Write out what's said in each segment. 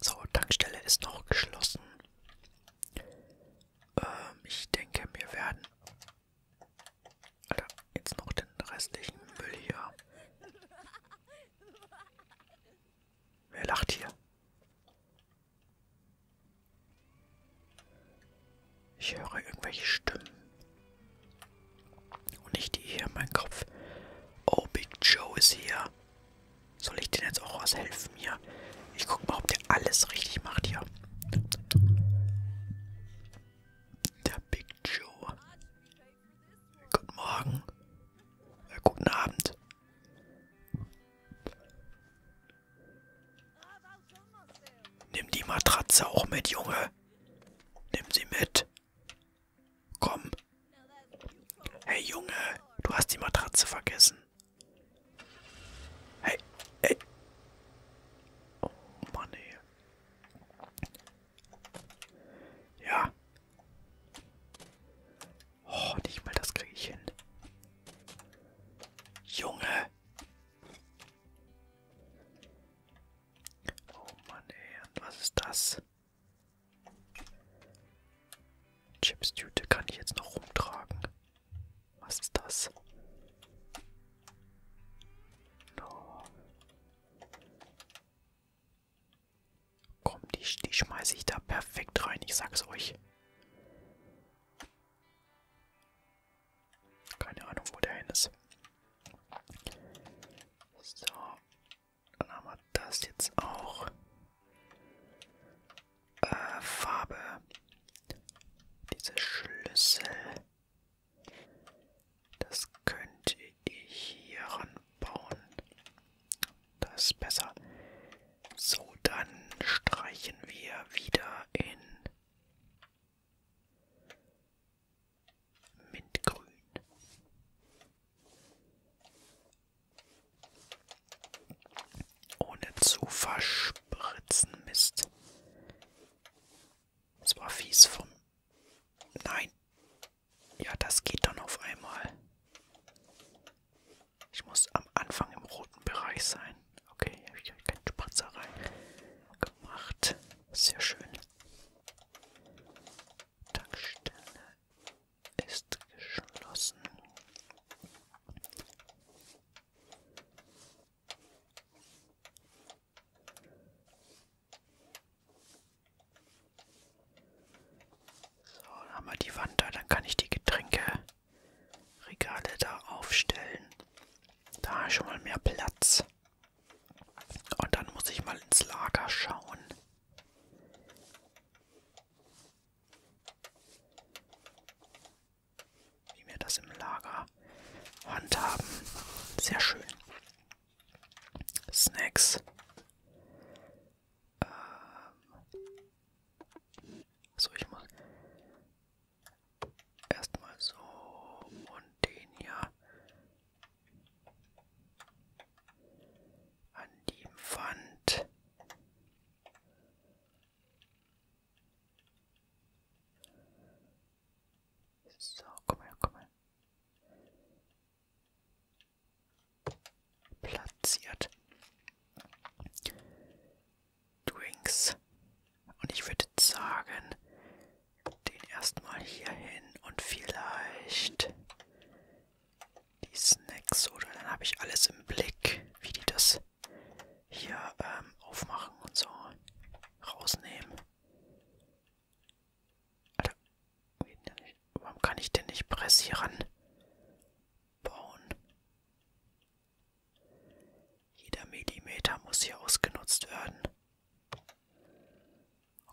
So, Tankstelle ist noch geschlossen. Ähm, ich denke, wir werden Alter, jetzt noch den restlichen Müll hier. Wer lacht hier? Ich höre irgendwelche Stimmen. Und nicht die hier in meinem Kopf. Oh, Big Joe ist hier. Soll ich denn jetzt auch aushelfen hier? Ich guck mal, ob der alles richtig macht hier. Der Big Joe. Guten Morgen. Äh, guten Abend. Nimm die Matratze auch mit, Junge. Nimm sie mit. Komm. Hey Junge, du hast die Matratze vergessen. Hey, hey. Oh Mann, ey. Ja. Oh, nicht mal das kriege ich hin. Junge. Oh Mann, ey. Und was ist das? Chips-Tüte kann ich jetzt noch rumtragen. Was ist das? No. Komm, die, die schmeiße ich da perfekt rein, ich sag's euch. Keine Ahnung, wo der hin ist. So, dann haben wir das jetzt auch. Äh, Farbe. Diese Schlüssel. Das könnte ich hier ranbauen. Das ist besser. So, dann streichen wir wieder in Mintgrün. Ohne zu verspritzen, Mist. Das war fies vom... Nein. Ja, das geht dann auf einmal. Ich muss am Anfang im roten Bereich sein. Okay, hier habe ich keine Spritzer rein gemacht. Sehr schön. Tankstelle ist geschlossen. So, dann haben wir die Wand da, dann kann ich die Getränkeregale da aufstellen. Da schon mal mehr Platz. Und dann muss ich mal ins Lager schauen. Wie wir das im Lager handhaben. Sehr schön. Snacks. Ähm so, ich muss erstmal so und den hier an die Wand. So, komm her, komm her. Platziert. Drinks. Und ich würde sagen, den erstmal hier hin und vielleicht die Snacks oder dann habe ich alles im Blick, wie die das hier ähm, aufmachen und so rausnehmen. Alter, warum kann ich denn nicht pressieren? Bauen. Jeder Millimeter muss hier ausgenutzt werden.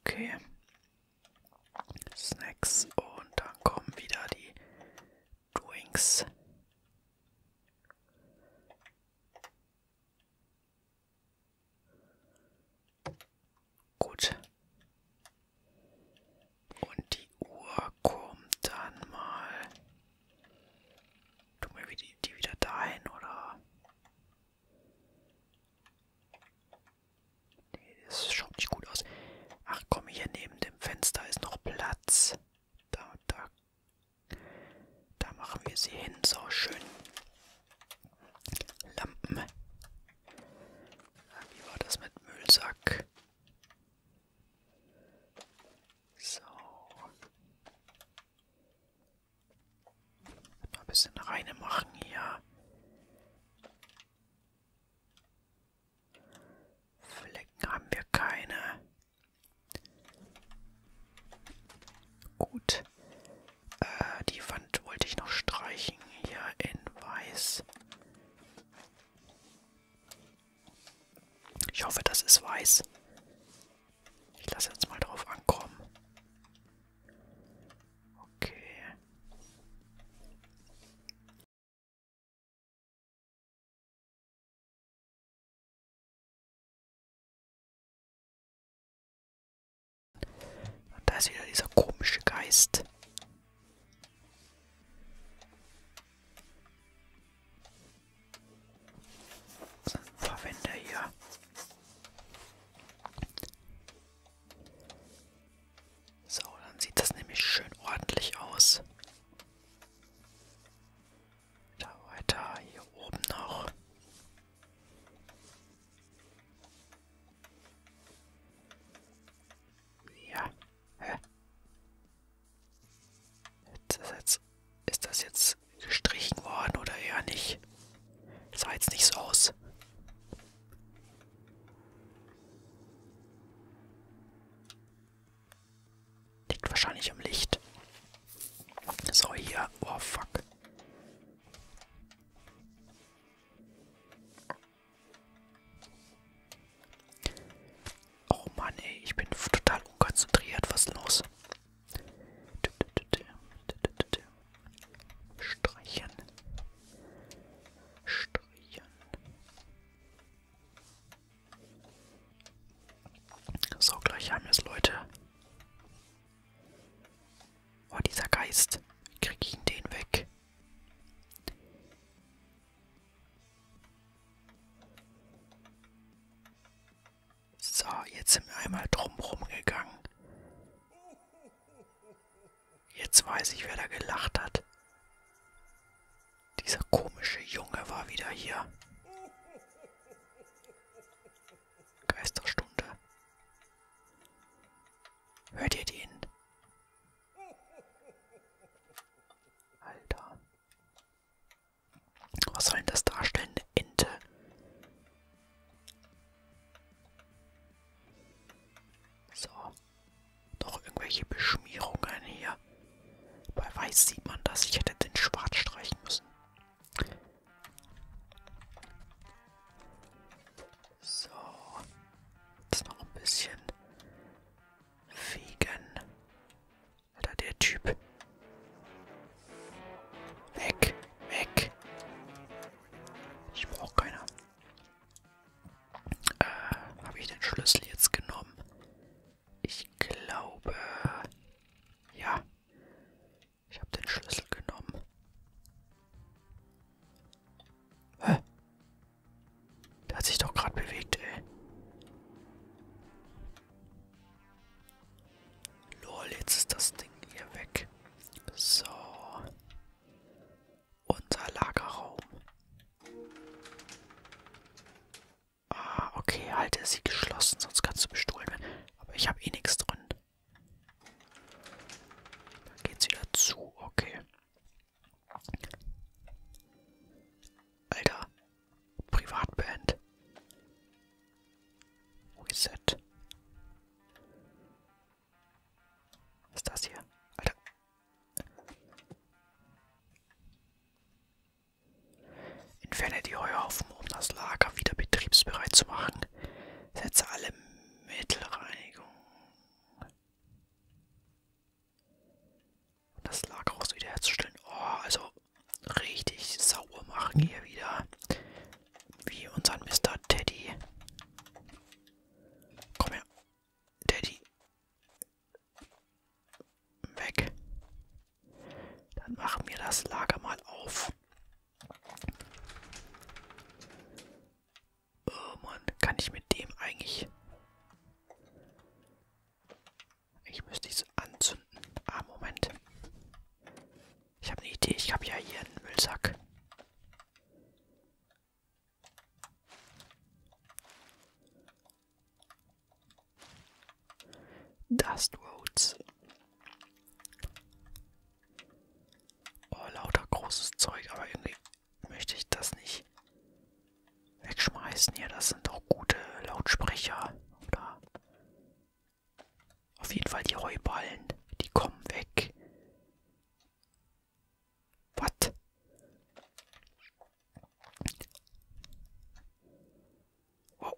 Okay. Snacks und dann kommen wieder die Drinks. Gut. Und die Uhr kommt dann mal. Tun wir die wieder dahin oder? Nee, das schaut nicht gut aus. Ach komm, hier neben dem Fenster ist noch Platz. Da, da. Da machen wir sie hin. So, schön. Lampen. Ah, wie war das mit Müllsack? So. Mal ein bisschen reine machen hier. Flecken haben wir keine. Gut. Äh, die Wand wollte ich noch streichen hier in weiß. Ich hoffe, das ist weiß. Ich lasse jetzt mal drauf ankommen. Okay. Und da ist wieder dieser komische Geist. Verwende hier so, dann sieht das nämlich schön ordentlich aus. Da weiter, hier oben noch. Ja, hä? Ist das, jetzt, ist das jetzt gestrichen worden oder eher nicht? Sah jetzt nicht so aus. Liegt wahrscheinlich im Licht. So, hier. Oh, fuck. Oh Mann, ey. Ich bin total unkonzentriert. Was ist los? Streichen. Streichen. So, gleich haben wir es, Leute. Oh, dieser Geist. Wie krieg ich ihn den weg? So, jetzt sind wir einmal drumherum gegangen. Jetzt weiß ich, wer da gelacht hat. Dieser komische Junge war wieder hier. Geisterstunde. Hört ihr den? Alter. Was soll denn das darstellen? Eine Ente. So. Noch irgendwelche Beschmierungen hier. Bei Weiß sieht man das. Ich hätte den Schwarz streichen müssen. So. Jetzt noch ein bisschen fegen. Alter, der Typ. Weg, weg. Ich brauche keiner. Äh, habe ich den Schlüssel jetzt genommen? Ich glaube, ja. Ich habe den Schlüssel genommen. Hä? Der hat sich doch gerade bewegt, ey. Lol, jetzt ist das Ding hier weg. So. Unser Lagerraum. Ah, okay, halte sie geschlossen, sonst kannst du bestohlen werden. Aber ich habe eh nichts drin. Dann geht's wieder zu, okay. Alter, Privatband. Reset. Was ist das hier? Alter. Entferne die Heuhaufen, um das Lager wieder betriebsbereit zu machen. Setze alle Mittelreinigung. Um das Lager auch so wiederherzustellen. Oh, also richtig sauber machen hier wieder. Wie unseren Mr. Teddy. Komm her. Teddy. Weg. Dann machen wir das Lager mal auf. Oh Mann, kann ich mit dem eigentlich... Ich müsste es anzünden. Ah, Moment. Ich habe eine Idee, ich habe ja hier einen Müllsack. Dust Roads. Oh, lauter großes Zeug, aber irgendwie möchte ich das nicht wegschmeißen. Ja, das sind doch gute Lautsprecher. Oder auf jeden Fall die Heuballen. Die kommen weg. Was? Oh.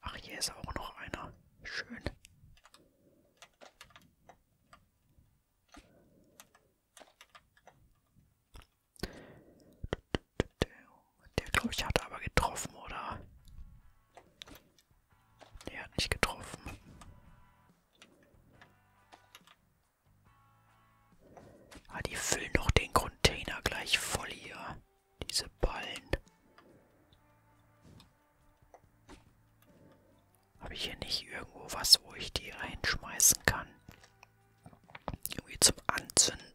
Ach, hier ist auch noch einer. Schön. Der, glaube ich, hat aber getroffen, oder? Der hat nicht getroffen. Ah, die füllen doch den Container gleich voll hier. Diese Ballen. Habe ich hier nicht irgendwo was, wo ich die reinschmeißen kann? Irgendwie zum Anzünden.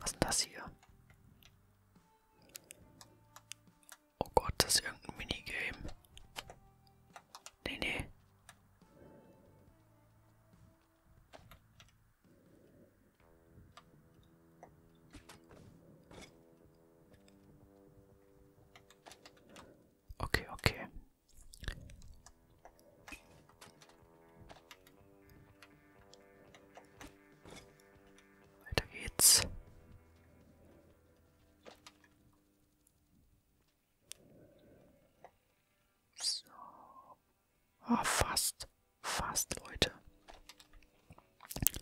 Was ist denn das hier? Oh Gott, das ist irgendein Minigame. Nee, nee. Okay, okay. Weiter geht's. So. Oh, fast. Fast, Leute. Alter,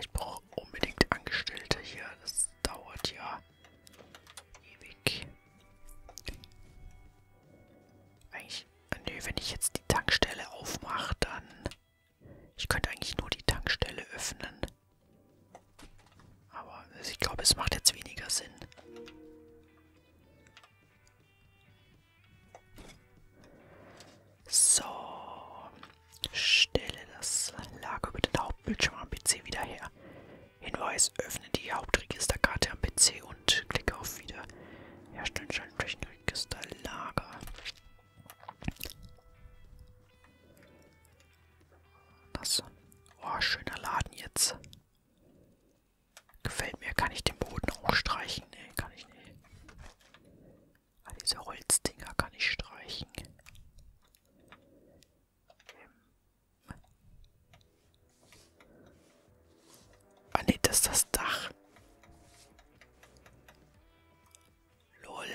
ich brauche unbedingt Angestellte hier. Das dauert ja. Ewig. Eigentlich, nö, wenn ich jetzt die Tankstelle aufmache, dann... Ich könnte eigentlich nur die Tankstelle öffnen. Aber also ich glaube, es macht jetzt weniger Sinn. So. Stelle das Lager über den Hauptbildschirm am PC wieder her. Hinweis, öffne die Hauptregisterkarte am PC und klicke auf wieder Herstellen Registerlager. Das. Oh, schöner Laden jetzt. Gefällt mir. Kann ich den Boden auch streichen? Nee, kann ich nicht. All ah, diese Holzdinger kann ich streichen. Ah ne, das ist das Dach. Lol.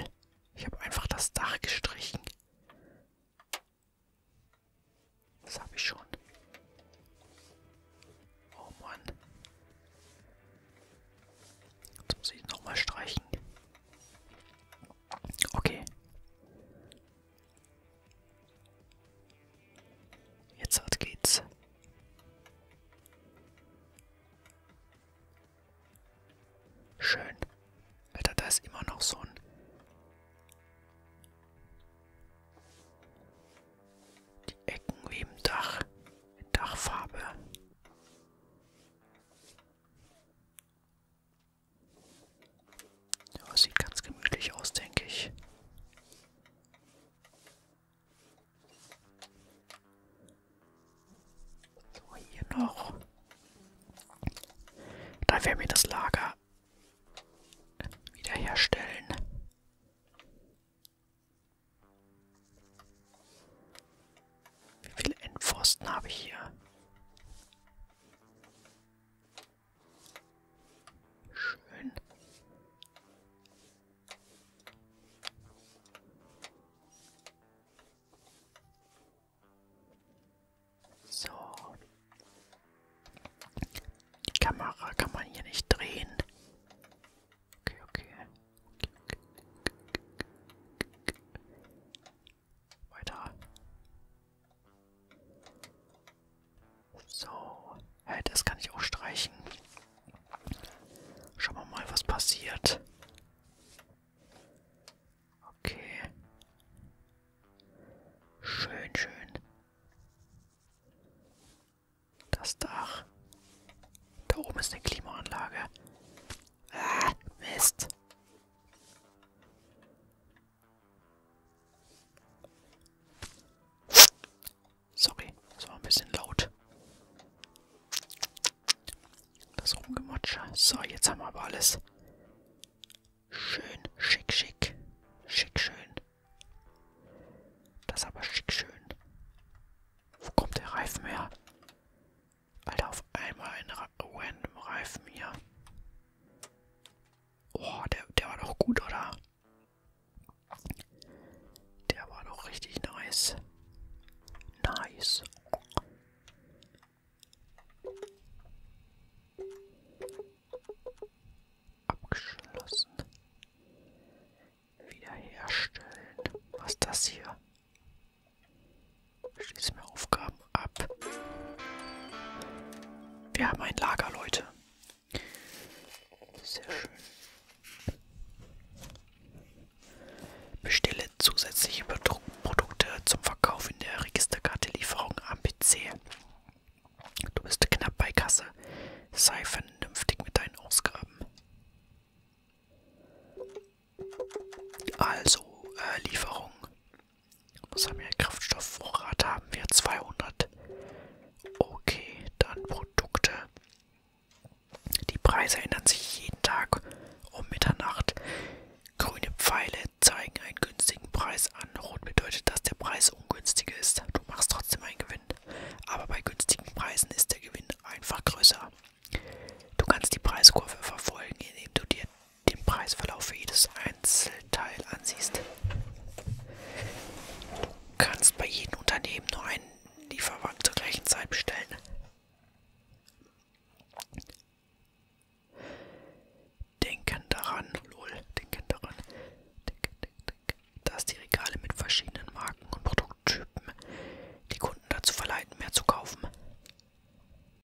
Ich habe einfach das Dach gestrichen. Das habe ich schon. Oh Mann. Jetzt muss ich nochmal streichen. Okay. Jetzt halt geht's. Schön. Alter, da ist immer noch so ein... Die Ecken wie im Dach. Dachfarbe. Ja, sieht ganz gemütlich aus, denke ich. So, hier noch. Dann werden wir das Lager wiederherstellen. Wie viele Endpfosten habe ich hier? Schön. So. Die Kamera kann man hier nicht drehen. Okay, okay. Weiter. So. Hey, das kann ich auch streichen. Schauen wir mal, was passiert. Okay. Schön, schön. Das Dach. Da oben ist eine Klimaanlage. Ah, Mist. Sorry, das war ein bisschen laut. Das Rumgemotsche. So, jetzt haben wir aber alles. Schön, schick, schick. Schick, schön. Das aber schick, schön. Wo kommt der Reifen her? Alter, auf einmal ein Ra random Reifen hier. Oh, der, der war doch gut, oder? Der war doch richtig nice. Nice. Abgeschlossen. Wiederherstellen. Was ist das hier? Schließe mir Aufgaben ab. Wir haben ein Lager, Leute. Sehr schön. Bestelle zusätzliche Produkte zum Verkauf in der Registerkarte Lieferung am PC. Du bist knapp bei Kasse. Sei vernünftig mit deinen Ausgaben. Also, äh, Lieferung. Was haben wir? Kraftstoffvorrat haben wir 200. Okay, dann Produkte. Die Preise ändern sich jeden Tag um Mitternacht. Grüne Pfeile zeigen einen günstigen Preis an. Rot bedeutet, dass der Preis ungünstig ist. Du machst trotzdem einen Gewinn. Aber bei günstigen Preisen ist der Gewinn einfach größer. Du kannst die Preiskurve verfolgen, indem du dir den Preisverlauf für jedes Einzelteil ansiehst. Du kannst bei jedem Unternehmen nur einen Lieferwagen zur gleichen Zeit bestellen. Denken daran, lol, denken daran, denken, denken, denken, dass die Regale mit verschiedenen Marken und Produkttypen die Kunden dazu verleiten, mehr zu kaufen.